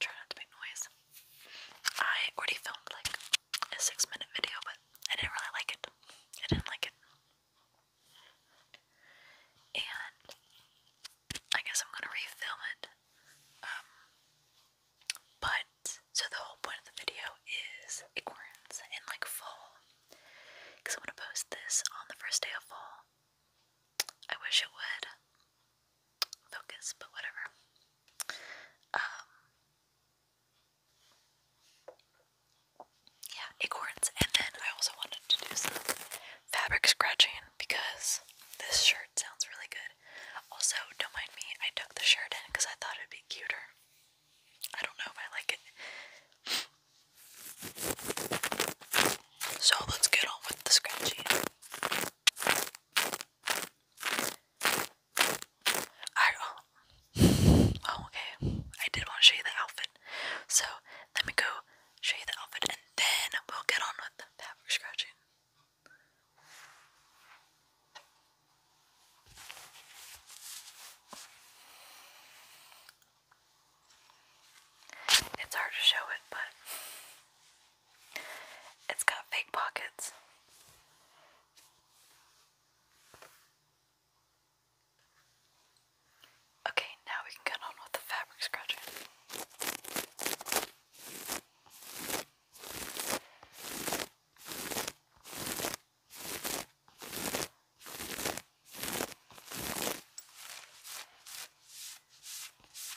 Try not to make noise. I already filmed like a six minute video, but I didn't really like it. I didn't like it. And I guess I'm gonna refilm it. Um, but so the whole point of the video is acorns in like fall. Because I'm gonna post this on the first day of fall. I wish it would focus, but whatever. Um, yeah, acorns. And then I also wanted to do some fabric scratching because this shirt sounds really good. Also, don't mind me, I tucked the shirt in because I thought it'd be cuter. I don't know if I like it. So let's get on with the scratching. I oh. oh, okay. I did want to show you the outfit. So let me go show you the outfit and then we'll get on with the fabric scratching. It's hard to show it, but it's got fake pockets. Okay, now we can get on with the fabric scratcher.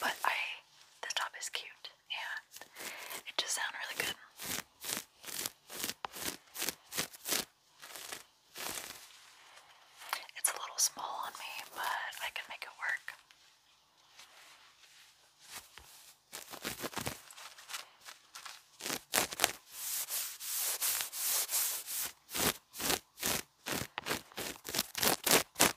But I, this top is cute it, it just sounds really good. It's a little small on me, but I can make it work.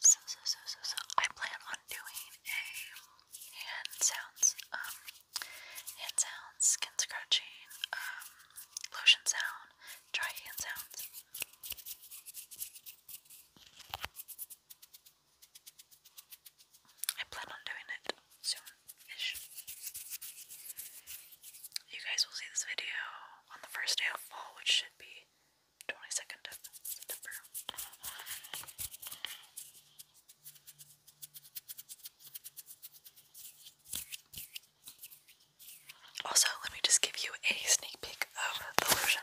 so, so, so, so, so, I plan on doing a hand sounds, um, hand sounds, skin scratching, um, lotion sound, dry hand sounds. I plan on doing it soon-ish. You guys will see this video on the first day of fall, which should be 22nd of September. Also, let me just give you a sneak peek of the lotion.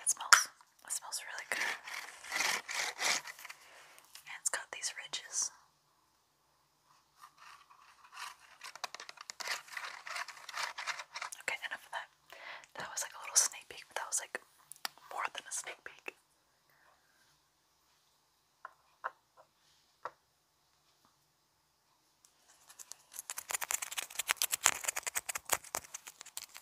It smells it smells really good. And it's got these ridges. Okay, enough of that. That was like a little sneak peek, but that was like more than a sneak peek.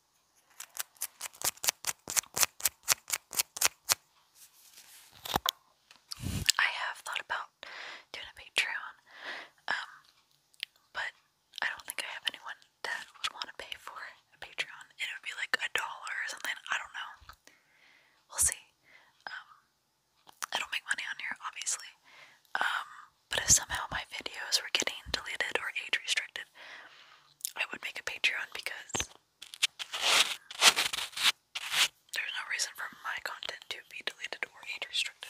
I have thought about doing a Patreon, um, but I don't think I have anyone that would want to pay for a Patreon. It would be like a dollar or something. I don't know. We'll see. Um, I do make money on here, obviously. Um, but if somehow my videos were getting deleted or age restricted, I would make a Patreon because there's no reason for my content to be deleted or age restricted.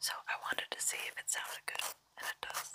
So I wanted to see if it sounded good, and it does.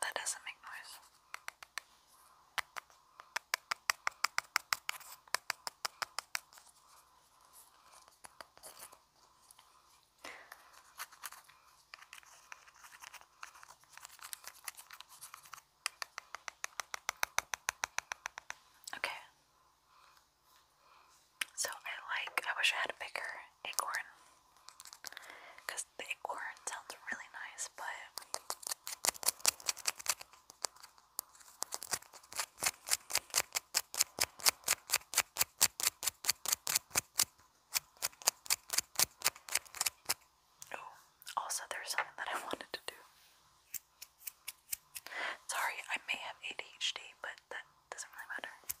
That doesn't make noise. Okay. So I like, I wish I had a bigger acorn. Because the acorn sounds really nice, but. also, there's something that I wanted to do. Sorry, I may have ADHD, but that doesn't really matter. I'm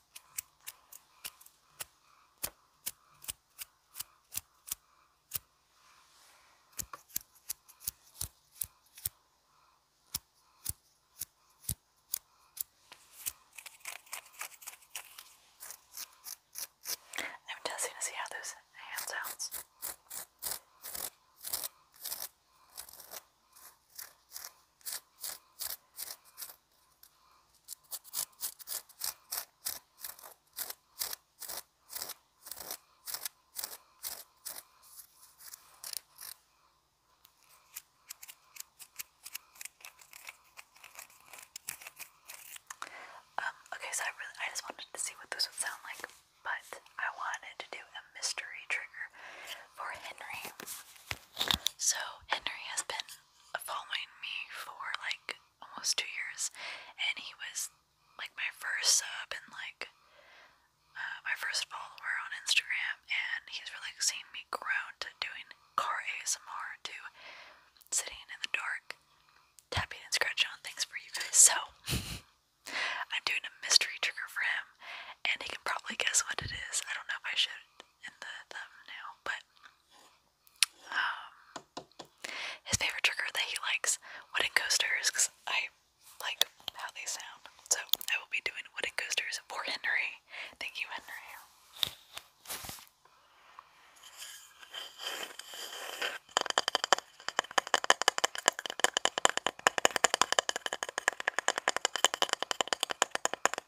testing to see how this hand sounds. Um, okay, so I really I just wanted to see what this would sound like, but I wanted to do a mystery trigger for Henry. So Henry has been following me for like almost two years, and he was like my first sub and like uh, my first follower on Instagram, and he's really seen me grow to doing car ASMR to sitting in the dark, tapping and scratching on things for you guys. So I'm doing a mystery trigger for him, and he can probably guess what it is. I don't know if I should in the thumbnail, but um, his favorite trigger that he likes wooden coasters because I like how they sound. So I will be doing wooden coasters for Henry. Thank you, Henry.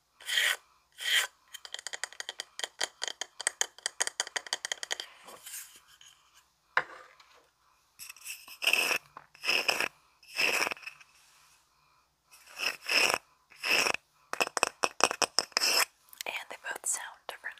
And they both sound different.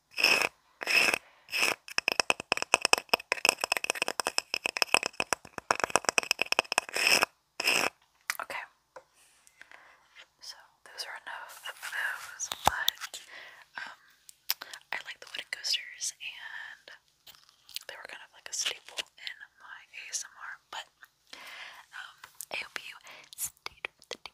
Okay. So those are enough of those, but um I like the wooden coasters and they were kind of like a staple in my ASMR, but um I hope you stayed the